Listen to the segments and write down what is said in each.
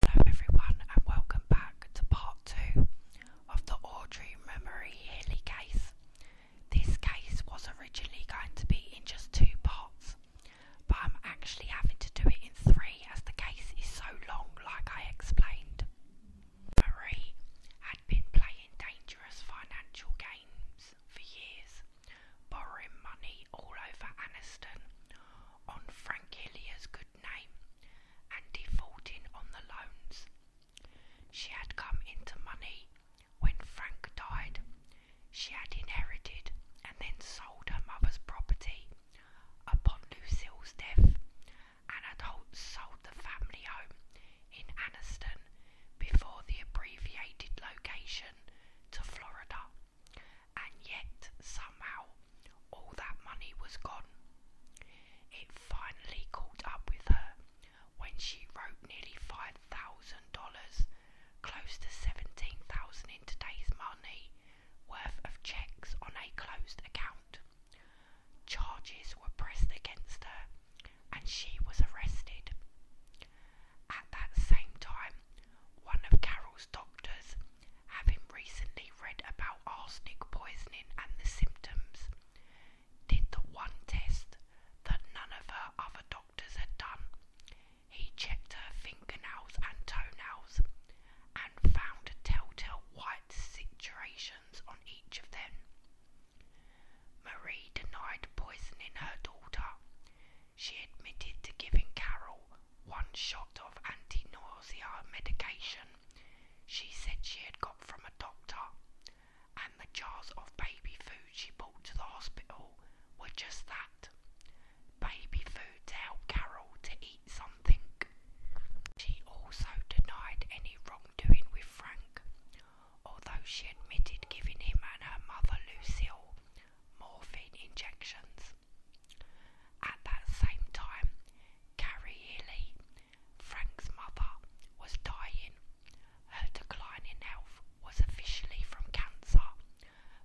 Hello everyone and welcome back to part 2 of the Audrey Memory Healy case. This case was originally going to be in just two parts, but I'm actually having to do it in three as the case is so long like I explained. Marie had been playing dangerous financial games for years, borrowing money all over Anniston on Frank Hilliard's good name and defaulting on the loans. She had come into money when Frank died. She had inherited and then sold her mother's property upon Lucille's death and had sold the family home in Anniston before the abbreviated location to Florida. And yet, somehow, all that money was gone. It finally caught up with her when she wrote nearly $5,000, close to $17,000 in today's money, worth of checks on a closed account. Charges were pressed against her and she was arrested. At that same time, one of Carol's doctors having recently read about arsenic poisoning and the symptoms, did the one test that none of her other doctors had done. He checked her fingernails and toenails and found telltale white situations on each of them. Marie denied poisoning her daughter. She admitted to giving Carol one shot of anti nausea medication she said she had got from a doctor, and the jars of baby food she brought to the hospital were just that baby food to help Carol to eat something. She also denied any wrongdoing with Frank, although she admitted giving him and her mother Lucille morphine injections. At that same time, Carrie Healy, Frank's mother, was dying. Her decline in health was officially from cancer,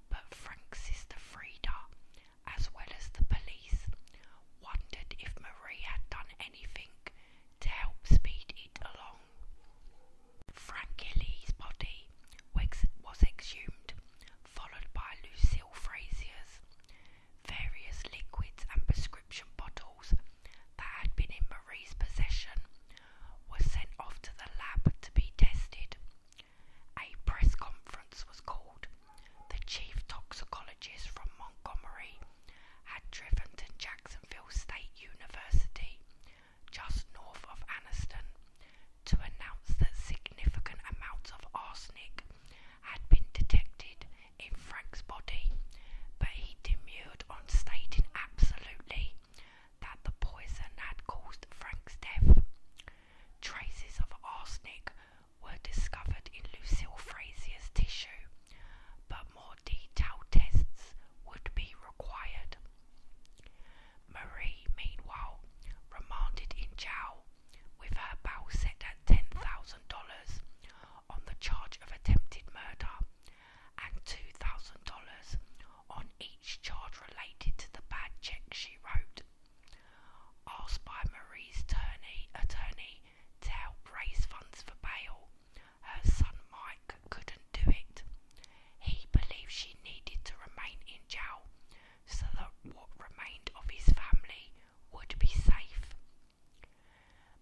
but Frank's sister Frida, as well as the police, wondered if Marie had done anything to help speed it along. Frank Healy's body was exhumed, followed by Lucille Frazier's various liquids and prescription bottles that had been in Marie's possession were sent off to the lab to be tested. A press conference was called. The chief toxicologist from Montgomery had driven to Jacksonville State University, just north of Anniston, to announce that significant amounts of arsenic had been detected in Frank's body, but he demurred on stating absolutely that the poison had caused Frank's death. Traces of arsenic were discovered in Lucille Frazier's tissue, but more detailed tests would be required. Marie, meanwhile, remanded in jail with her bail set at $10,000 on the charge of attempted murder and $2,000 on each charge related to the bad check she wrote. Asked by Marie's attorney, attorney to help raise funds for bail, her son Mike couldn't do it. He believed she needed to remain in jail so that what remained of his family would be safe.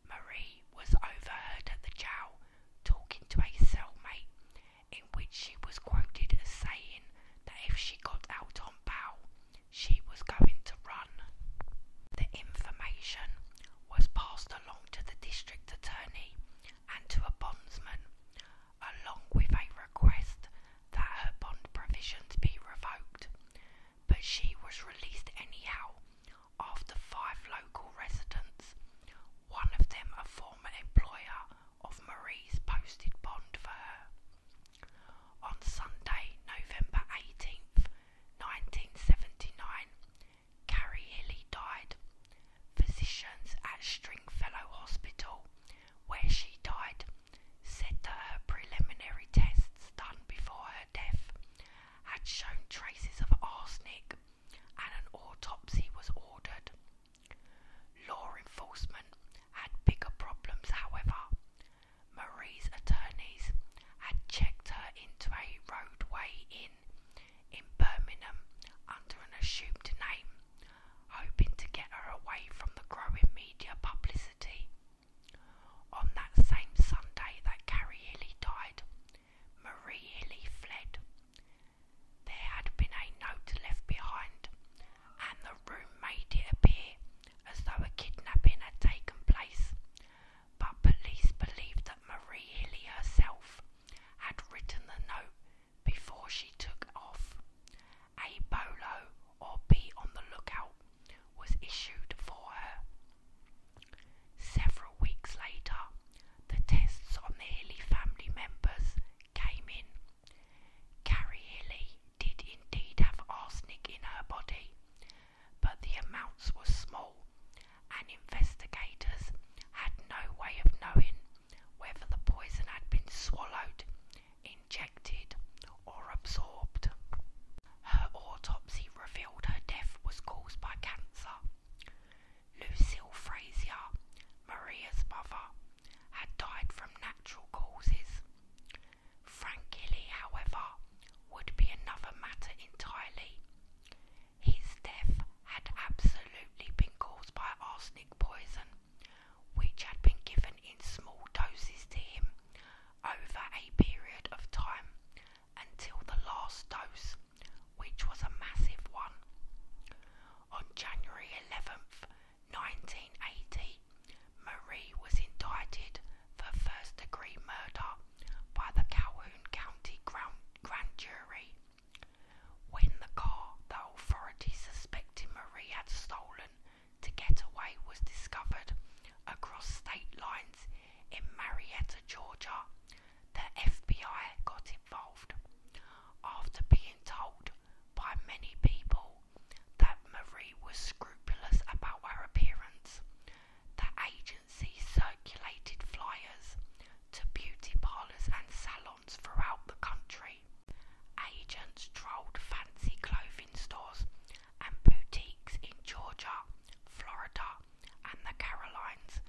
Marie was overheard at the jail talking to a cellmate, in which she was quoted as saying that if she got out on bail, she was going to run. The information was passed along to the district attorney and to a bondsman, along with a request that her bond provisions be revoked, but she was released anyhow after five local residents, one of them a former employer of Marie's, posted bond for her. On Sunday, November 18th, 1979, Carrie Hilly died. Physicians at Stringfellow Hospital, where she died, said that preliminary tests done before her death had shown traces of arsenic and an autopsy was ordered. Law enforcement had bigger problems, however. Marie's attorneys had checked her into a roadway inn in Birmingham under an assumed name, hoping to get her away from the growing media publicity. On that same Sunday that Carrie Healy died, Marie Healy fled. There had been a note left behind, and the room made it appear as though a kidnapping had taken place. But police believed that Marie Healy herself had written the note before she took off. A bolo or be on the lookout was issued for her. Several weeks later, the tests on the Healy family members came in. Carrie Healy did indeed have arsenic in her body, but the amounts were small, and investigators had no way of knowing whether the poison had been swallowed injected, or absorbed. Her autopsy revealed her death was caused by cancer. Lucille Frazier, Maria's mother, had died from natural causes. Frank Gilly, however, would be another matter entirely. His death had absolutely been caused by arsenic poison, which had been given in small doses to him over a period of time until the last dose, which was a massive one. On January 11th, 1980, Marie was indicted for first degree murder by the Calhoun County Grand, Jury. When the car the authorities suspected Marie had stolen to get away was discovered across state lines in Marietta, Georgia. The FBI got involved after being told by many people that Marie was scrupulous about her appearance. The agency circulated flyers to beauty parlours and salons throughout the country. Agents trolled fancy clothing stores and boutiques in Georgia, Florida, and the Carolines,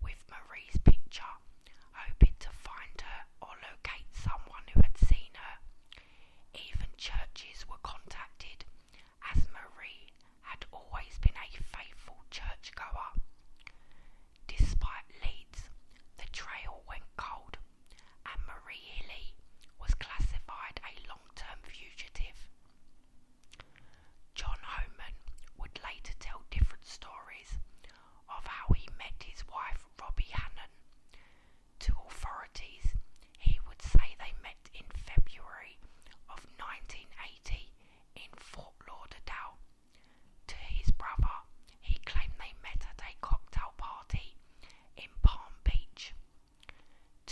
with Marie's picture, hoping to find her or locate someone who had seen her. Even churches were contacted, as Marie had always been a faithful churchgoer. Despite leads, the trail went cold, and Marie Hilly was classified a long-term fugitive. John Homan would later tell different stories of how he met his wife Robbie Hannon. To authorities, he would say they met in February of 1980 in Fort Lauderdale. To his brother, he claimed they met at a cocktail party in Palm Beach.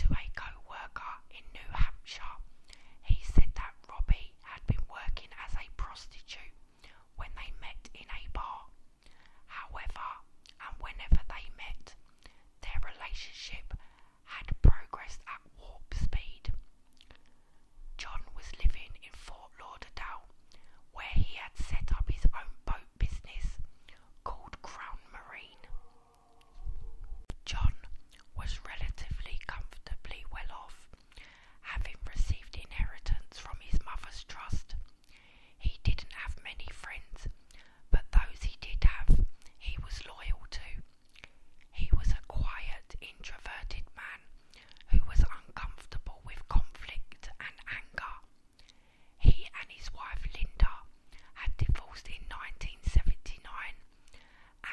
To a co worker in New Hampshire, he said that Robbie had been working as a prostitute when they met in a bar. However, and whenever they met, their relationship had progressed at warp speed. John was living in Fort Lauderdale, where he had set up his own boat business called Crown Marine. John was relatively comfortably well off, having received inheritance from his mother's trust. He didn't have many friends, but those he did have, he was loyal to. He was a quiet, introverted man who was uncomfortable with conflict and anger. He and his wife Linda had divorced in 1979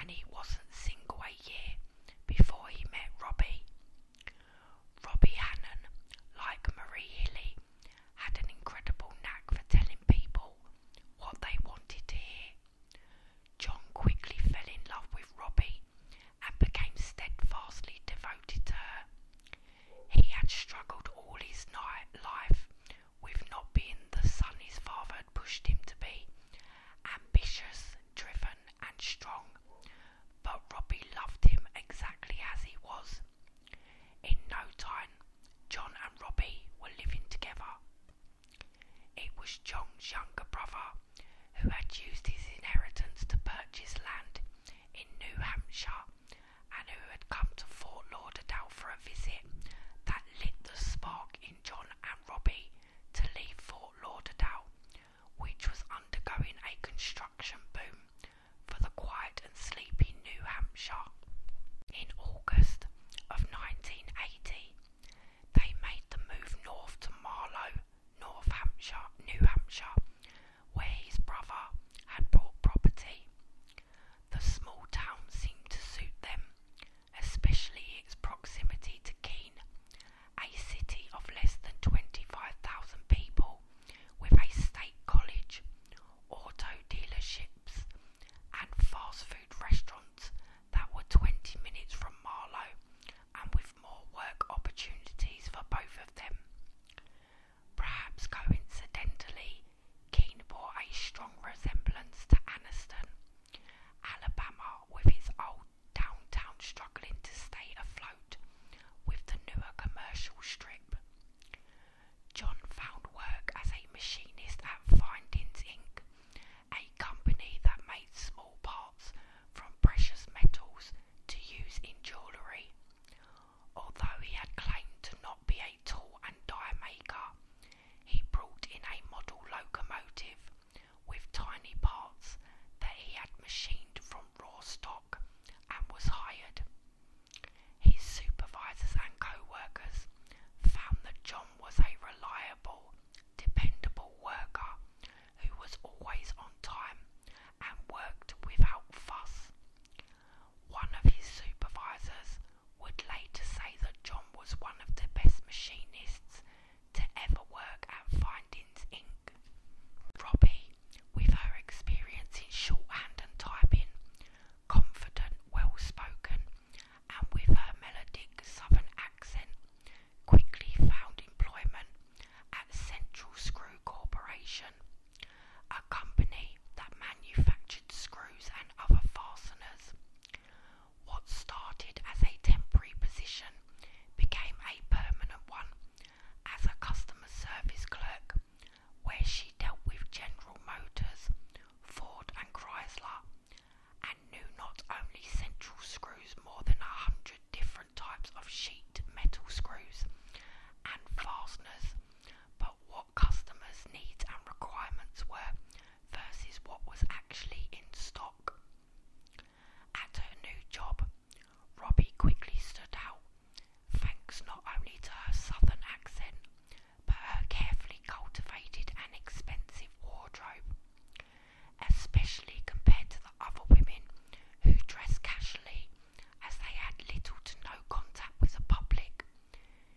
and he wasn't single a year before he met Robbie. Robbie Hannon, like Marie Hilly, had an incredible knack for telling people what they wanted to hear. John quickly fell in love with Robbie and became steadfastly devoted to her. He had struggled all his night life We've not been the son his father had pushed him to be ambitious, driven, and strong. But Robbie loved him exactly as he was. In no time, John and Robbie were living together. It was John's younger brother who had used his inheritance to purchase land in New Hampshire and who had come to Fort Lauderdale for a visit, that lit the spark in John and Robbie to leave Fort Lauderdale, which was undergoing a construction boom for the quiet and sleepy New Hampshire. In August of 1980, they made the move north to Marlow, North Hampshire, New Hampshire, where his brother had bought property. The small town seemed to suit them, especially its proximity to Keene, a city of less than 25,000 people, with a state college, auto dealerships, and fast food restaurants that were 20 minutes from Marlow and with more work opportunities for both of them. Perhaps coincidentally, Keene bore a strong resemblance to Anniston, Alabama, with its old downtown struggling to stay afloat with the newer commercial strip. John found work as a machinist at Findings Inc., a company that made small parts from precious metals to use in jewellery. Although he had claimed to not be a tool and die maker, he brought in a model locomotive with tiny parts that he had machined from raw stock and was hired. His supervisors and coworkers found that John was a reliable, dependable worker who was always on time and worked without fuss. One of his supervisors would later say that John was one of the best machinists to ever work at Findings Inc. Robbie, with her experience in shorthand and typing, confident, well spoken, and with her melodic southern accent, quickly found employment at Central Screw Corporation, a company that manufactured screws and other fasteners. What started as a temporary position became a permanent one as a customer service clerk, where she dealt with General Motors, Ford, and Chrysler, and knew not only central screws more than a hundred different types of sheet metal screws and fasteners, but what customers' needs and requirements were versus what was actually in stock. At her new job, Robbie quickly stood out, thanks not only to her southern accent, but her carefully cultivated and expensive wardrobe, especially compared to the other women who dressed casually as they had little to no contact with the public.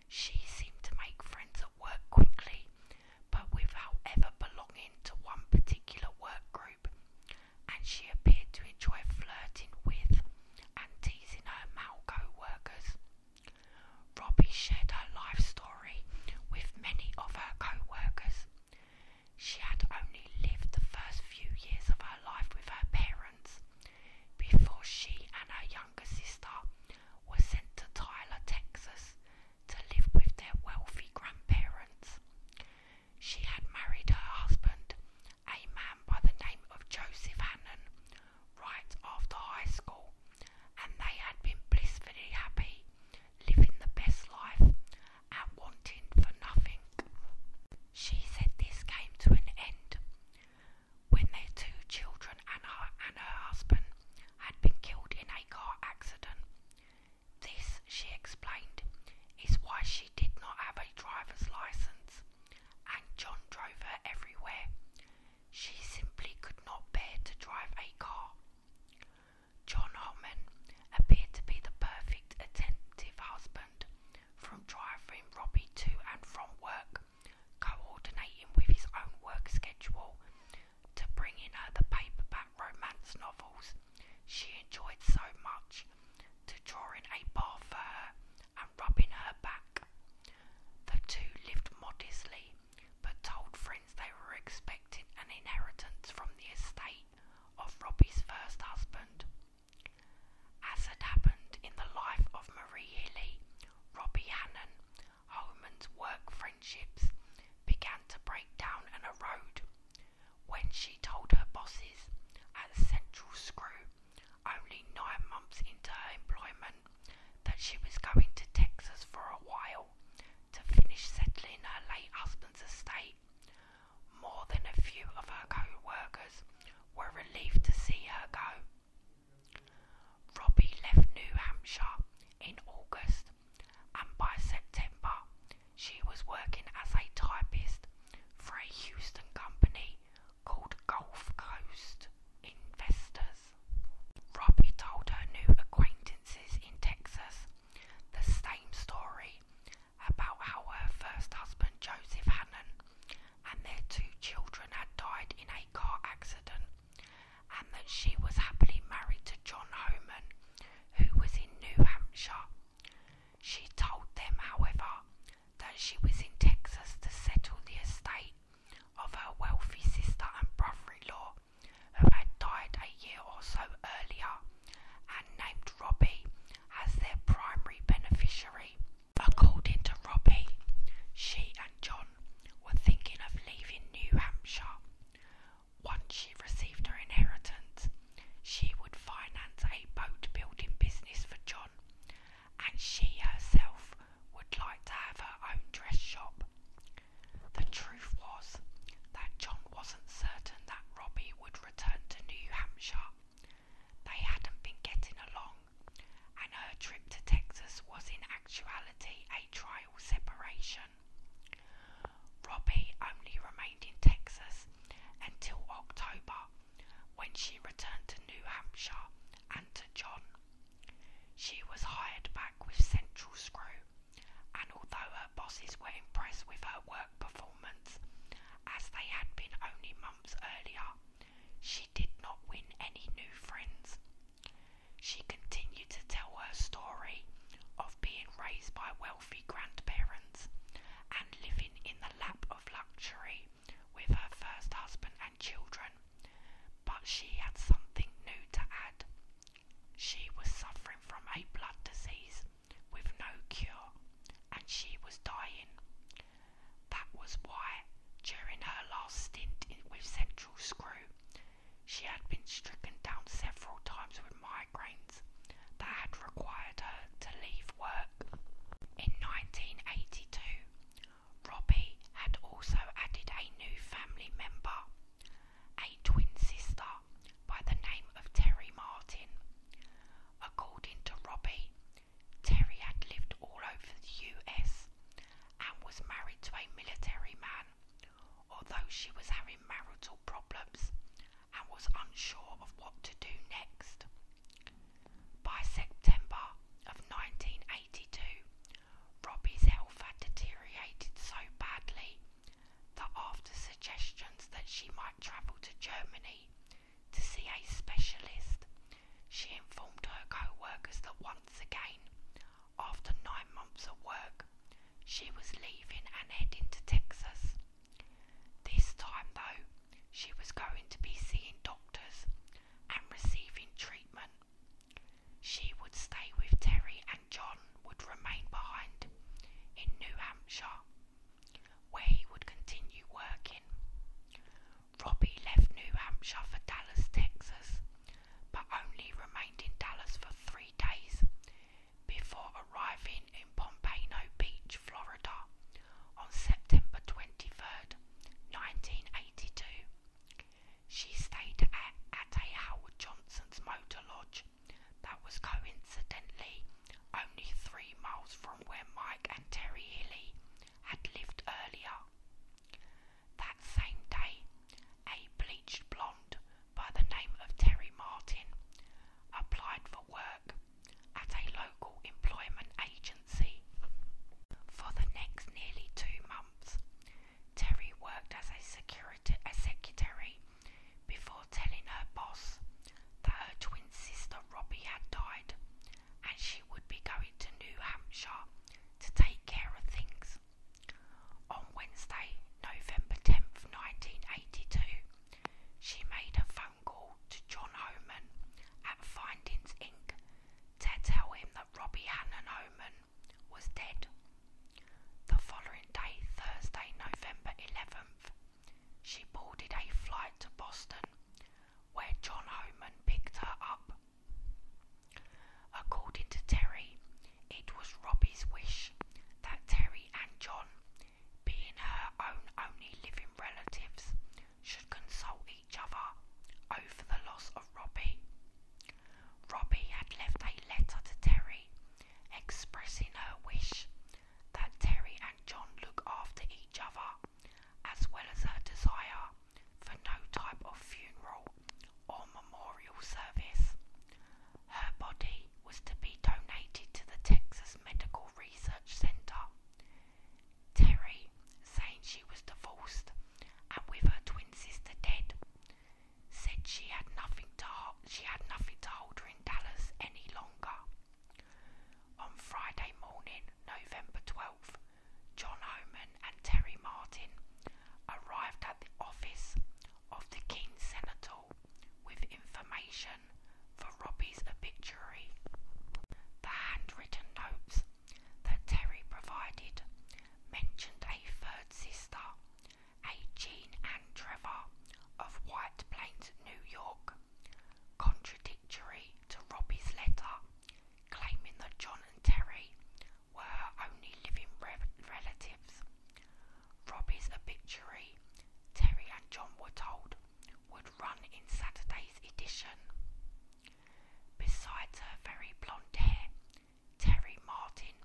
She seemed to make friends at work quickly, but without ever belonging to one particular work group, and she appeared to enjoy flirting with and teasing her male co workers. Robbie shared her life story with many of her co workers. She had only lived the first few years of her life with her parents before she and her younger sister were sent to Tyler, Texas to live with their wealthy grandparents. She had married her husband, a man by the name of Joseph Hannon, right after high school, and they had been blissfully happy, living the best life and wanting for nothing. She said this came to an end when their two children and her, and her husband had been killed in a car accident. This, she explained, is why she did not have a driver's license, and John drove her everywhere. She simply could not bear to drive a car. John Holman appeared to be the perfect attentive husband from driving Robbie to and from work coordinating with his own work schedule to bring in her the paperback romance novels she enjoyed so much, to drawing a bath for her and rubbing her back. The two lived modestly, but told friends they were expecting an inheritance from the estate of Robbie's first husband. As had happened in the life of Marie Hilly, Robbie Hannon Holman's work friendships began to break down and erode. When she told her bosses at Central Screw, only nine months into her employment, that she was going to Texas for a while to finish settling her late husband's estate, more than a few of her co workers were relieved to see her go. Robbie left New Hampshire in August, and by September, she was working as a typist for a Houston company called Gulf Coast Investors. Robbie told her new acquaintances in Texas the same story about how her first husband, Joseph Hannon, and their two children had died in a car accident and that she was happily married to John Homan, who was in New Hampshire. She told them, however, that she was in Texas to settle the estate of her wealthy sister and brother in law, who had died a year or so earlier, and named Robbie as their primary beneficiary. According to Robbie, she and John John were thinking of leaving New Hampshire. Once she received her inheritance, she would finance a boat building business for John, and she herself would like to have her own dress shop. The truth was that John wasn't certain that Robbie would return to New Hampshire. They hadn't been getting along, and her trip to Texas was in actuality a trial separation. Robbie only remained in Texas until October when she returned to New Hampshire and to John. She was hired back with Central Screw, and although her bosses were impressed with her work performance, as they had been only months earlier, she did not win any new friends. She continued to tell her story of being raised by wealthy grandparents and living in the lap of luxury with her first husband and children. But she had something new to add. She was suffering from a blood disease with no cure, and she was dying. That was why, during her last stint with Central Screw, she had been stricken down several times with migraines that had required her to leave work. In 1982, Robbie had also added a new family member, a twin sister by the name of Terry Martin. According to Robbie, Terry had lived all over the US years and was married to a military man, although she was having marital problems and was unsure of what to do next. By September of 1982, Robbie's health had deteriorated so badly that after suggestions that she might travel to Germany to see a specialist, she informed her co workers that once again after nine months of work, she was leaving and heading to Texas. This time, though, she was going to be seeing doctors and receiving treatment. She would stay with Terry, and John would remain behind in New Hampshire, where he would continue working. Robbie left New Hampshire for Dallas, Texas, but only remained in Dallas for three days before arriving in Pompano Beach, Florida on September 23rd, 1982. She stayed at, at Howard Johnson's motor lodge that was coincidentally only three miles from where Mike and Terry Hilly had lived earlier. That same day, a bleached blonde by the name of Terry Martin applied for work at a local employment agency. For the next nearly two months, Terry worked as a, secretary before telling her boss that her twin sister Robbie had died and she would be going to New Hampshire to take care of things. On Wednesday, November 10th, 1982, she made a phone call to John Oman at Findings Inc. to tell him that Robbie Hannon Oman was dead. The following day, Thursday, November 11th, she boarded a flight to Boston where John Oman picked her up According to Terry, it was Robbie's wish that Terry and John, being her own only living relatives, should console each other over the loss of Robbie. Robbie had left a letter to Terry expressing her wish that Terry and John look after each other, as well as her desire for no type of funeral or memorial service. Her body was to be donated to the Texas Medical Research Center. Terry, saying she was divorced and with her twin sister dead, said she had nothing to she had nothing to hold her in Dallas any longer. On Friday morning, November 12th, John Oman and Terry Martin arrived at the office of the King Senator with information for Robbie's obituary. The handwritten notes that Terry provided mentioned a third sister, a Jean and Trevor of White Plains, New York, contradictory to Robbie's letter claiming that John and Terry were only living relatives. Robbie's obituary, Terry and John were told, would run in Saturday's edition. Besides her very blonde hair, Terry Martin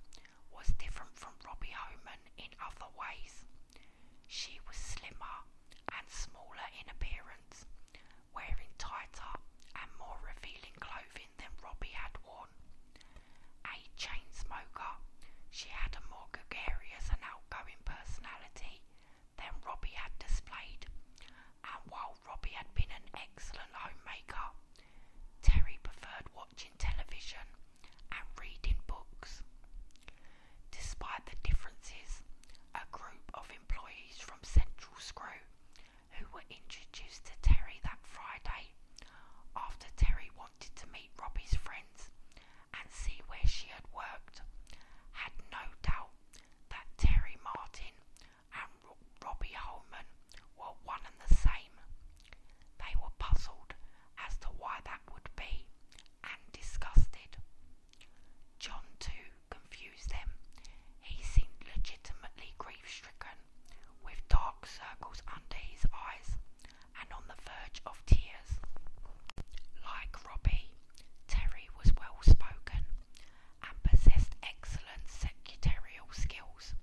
was different from Robbie Homan in other ways. She was slimmer and smaller in appearance, wearing tighter and more revealing clothing living than Robbie had worn. A chain smoker, she had a more gregarious and outgoing personality than Robbie had displayed, and while Robbie had been an excellent homemaker, Terry preferred watching television and reading books. Despite the differences, a group of employees from Central Screw who were introduced to Terry that Friday after Terry wanted to meet Robbie's friends and see where she had worked, had no doubt that Terry Martin and Robbie Holman were one and the same. They were puzzled as to why that would be and disgusted. John, too, confused them. He seemed legitimately grief stricken with dark circles under his eyes and on the verge of tears. Like Robbie, Terry was well spoken and possessed excellent secretarial skills.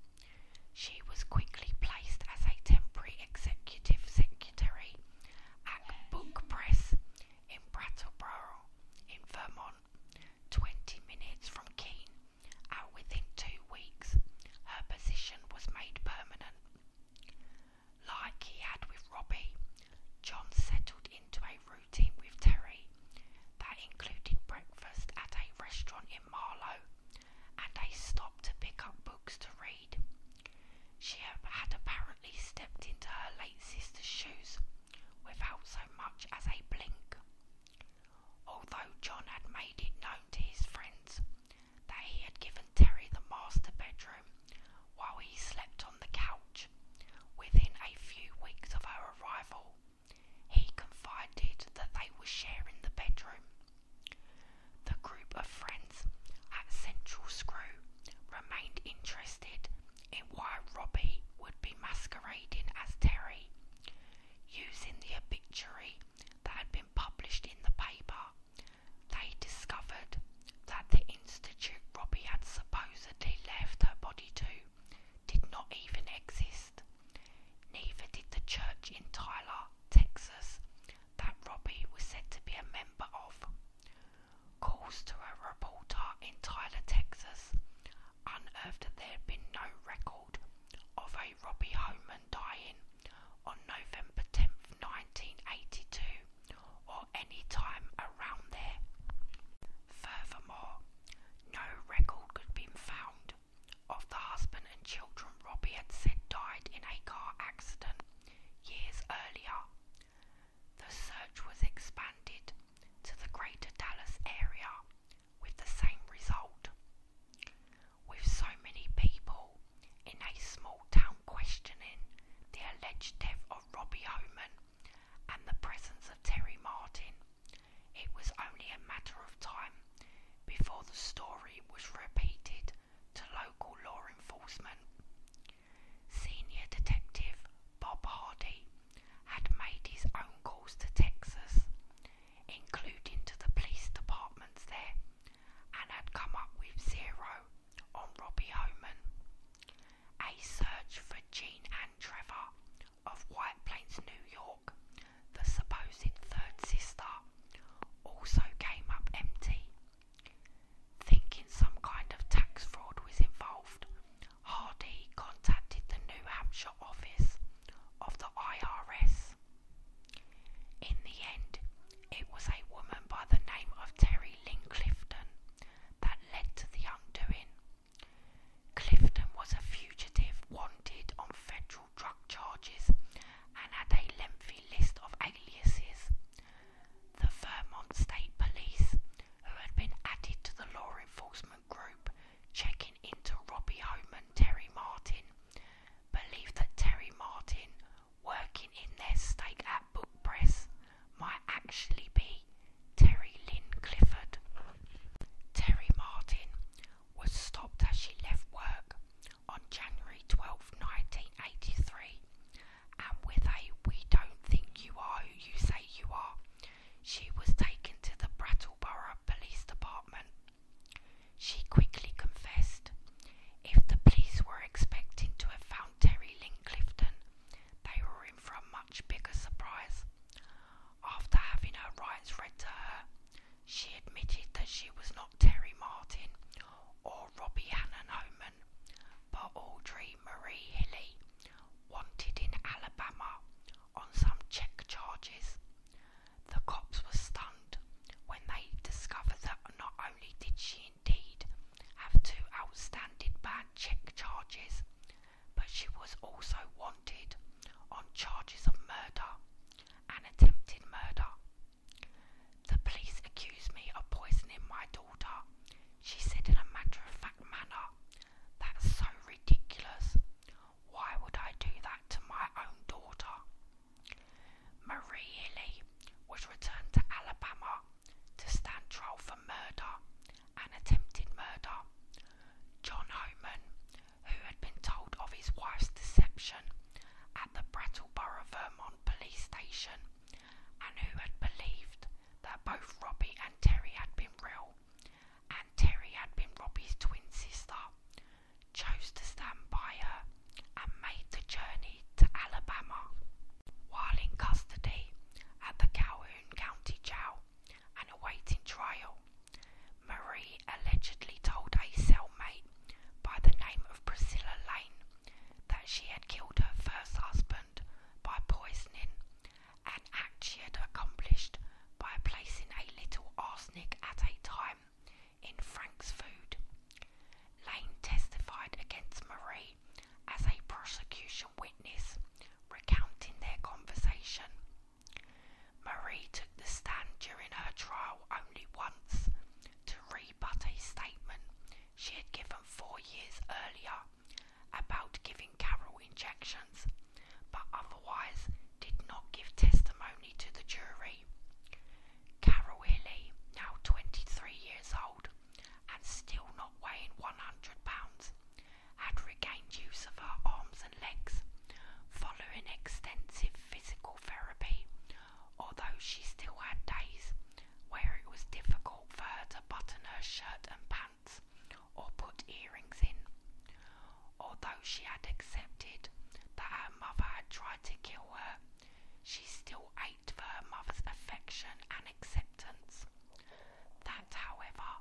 She was quickly placed as a temporary executive secretary at Book Press in Brattleboro, in Vermont, 20 minutes from Keene and within two weeks her position was made permanent. Like he had with Robbie, John settled into a routine with Terry that included breakfast at a restaurant in Marlow and a stop to pick up books to read. She had apparently stepped into her late sister's shoes without so much as a blink. Although John had made it known to his friends that he had given Terry the master bedroom while he slept on the couch, within a few weeks of her arrival, he confided that they were sharing the bedroom. The group of friends at Central Screw remained interested in why Robbie would be masquerading as Terry, using the obituary that had been published in the paper, they discovered that the institute Robbie had supposedly left her body to did not even exist. Neither did the church in Tyler, Texas, that Robbie was said to be a member of. Calls to a reporter in Tyler, Texas, unearthed that there had been no record of a Robbie Homan dying on November 10th, 1982, or any time around there. Furthermore, no record could be found of the husband and children Robbie had said died in a car accident years earlier. The search was expanded to the greater Dallas area with the same result. With so many people in a small town questioning the alleged death of Robbie Homan and the presence of Terry Martin, it was only a matter of time before the story was repeated to local law enforcement. Senior Detective Bob Hardy had made his own calls to Texas including to the police departments there, and had come up with zero on Robbie Homan. A search for Jean and Trevor of White Plains, New York, the supposed third sister, also came up empty. Thinking some kind of tax fraud was involved, Hardy contacted the New Hampshire office of the IRS. In the end, it was a woman by the name of Terry Lynn Clifton that led to the undoing. Clifton was a fugitive wanted on federal drug charges and had a lengthy list of aliases. The Vermont State Police, who had been added to the law enforcement group, checking into Robbie Home Terry Martin, believe that Terry Martin working in their stake at Book Press might actually be Terry Lynn Clifford. Terry Martin was stopped as she left work on January 12, 1983, and with a We Don't Think You Are Who You Say You Are, she was taken to the Brattleboro Police Department she quickly confessed. If the police were expecting to have found Terry Linkclifton, they were in for a much bigger surprise. After having her rights read to her, she admitted that she was not Terry Martin or Robbie Hannon Homan, but Audrey Marie Hilly, wanted in Alabama on some check charges the cops were stunned when they discovered that not only did she indeed have two outstanding bad check charges, but she was also wanted on charges of murder and attempted murder. The police accused me of poisoning my daughter, she said in a matter of fact manner. That's so ridiculous. Why would I do that to my own daughter? Marie Ely was returned to Alabama to stand trial for murder and attempted murder. John Homan, who had been told of his wife's deception at the Brattleboro, Vermont police station, and who had believed that both Robbie and Terry had been real, and Terry had been Robbie's twin sister, chose to stand by her and made the journey to Alabama. While in custody at the Calhoun County Jail and awaiting trial, Marie allegedly told a cellmate by the name of Priscilla Lane that she had killed her first husband by poisoning, an act she had accomplished by placing a little arsenic at a time in Frank's Food. Lane testified against Marie as a prosecution witness, recounting their conversation. Marie took the stand during her trial only once to rebut a statement she had given four years earlier about giving Carol injections, but otherwise did not give testimony to the jury. Carol Illy, now 23 years old and still not weighing 100 pounds, had regained use of her arms and legs following extensive physical therapy, although she still had days where it was difficult for her to button her shirt and pants or put earrings in. Although she had accepted that her mother had tried to kill her, she still ached for her mother's affection and acceptance. That, however,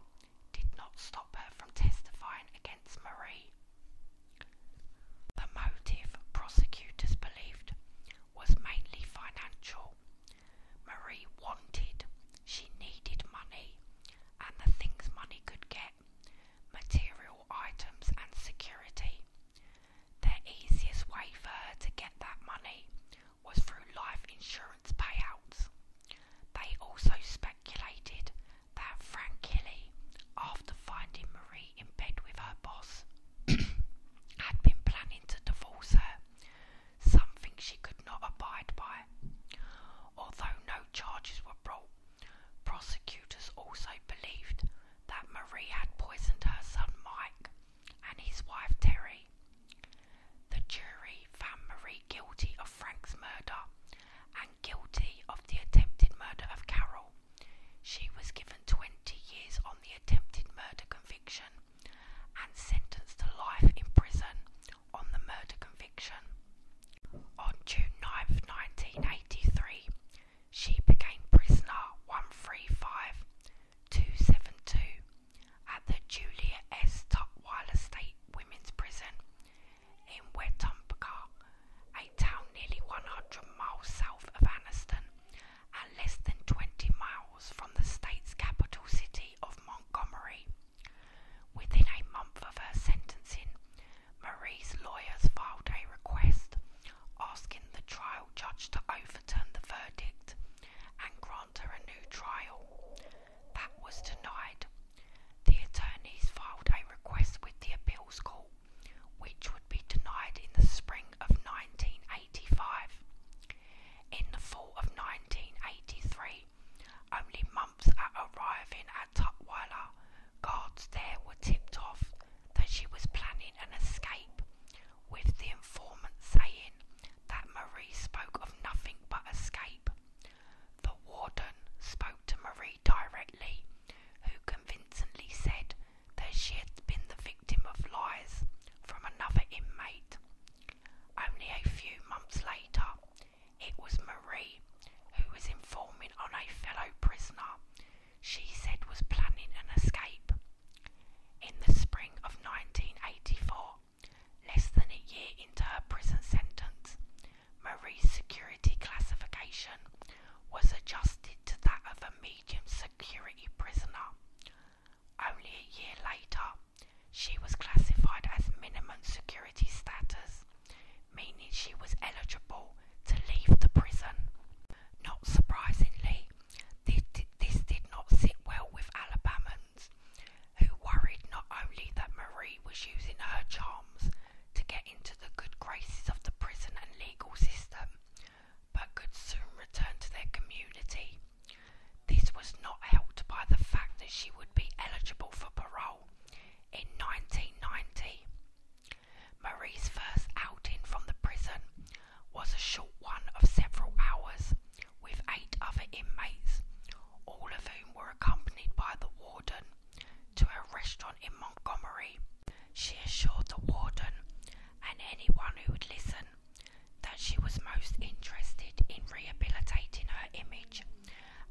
did not stop her from testifying against Marie. The motive, prosecutors believed, was mainly financial. Marie wanted, she needed money, and the things money could get material items and security. Their easiest way for her to get that money was through life insurance payouts. They also speculated that Frank Kelly, after finding Marie in bed with her boss, had been planning to divorce her, something she could not abide by. Although no charges were brought, Prosecutors also believed that Marie had poisoned her son Mike and his wife Terry. The jury found Marie guilty of Frank's murder and guilty of the attempted murder of Carol. She was given 20 years on the attempted murder conviction and sentenced to life in prison on the murder conviction. On June 9, 1983, she became prisoner 135272 at the Julia S. Tutwiler Estate Women's Prison in Wetumpka, a town nearly 100 miles south of Anniston and less than 20 miles from the state's capital city of Montgomery. Within a month of her sentencing, Marie's lawyers filed a request asking the trial judge to overturn the verdict and grant her a new trial. That was denied. The attorneys filed a request with the appeals court, which would be denied in the spring of 1985. In the fall of 1983, only months at arriving at at Tutwiler, guards there were tipped off that she was planning an escape, with the informant saying that Marie spoke of nothing but escape. The warden spoke to Marie directly, who convincingly said that she had been the victim of lies from another inmate. Only a few months later, it was Marie who was informing on a fellow prisoner she said was planning an escape. In the spring of 1984, less than a year into her prison sentence, Marie's security classification was adjusted to that of a medium security prisoner. Only a year later, she was classified as minimum security status, meaning she was eligible to leave the prison. Not surprisingly, this did not sit well with Alabamans, who worried not only that Marie was using her charms to get into the good graces of the prison and legal system, but could soon return to their community. This was not helped by the fact that she would be eligible for parole in 1990. Marie's first outing from the prison was a short one of several hours with eight other inmates, all of whom were accompanied by the warden to a restaurant in Montgomery. She assured the warden and anyone who would listen that she was most interested in rehabilitating her image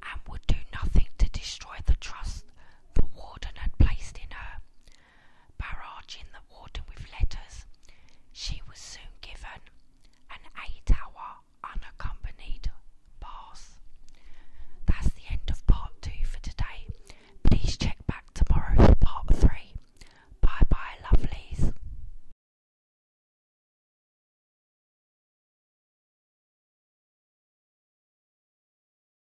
and would do nothing to destroy the trust the warden had placed in her. Barrage in the water with letters, she was soon given an eight hour unaccompanied bath. That's the end of part two for today. Please check back tomorrow for part three. Bye bye, lovelies.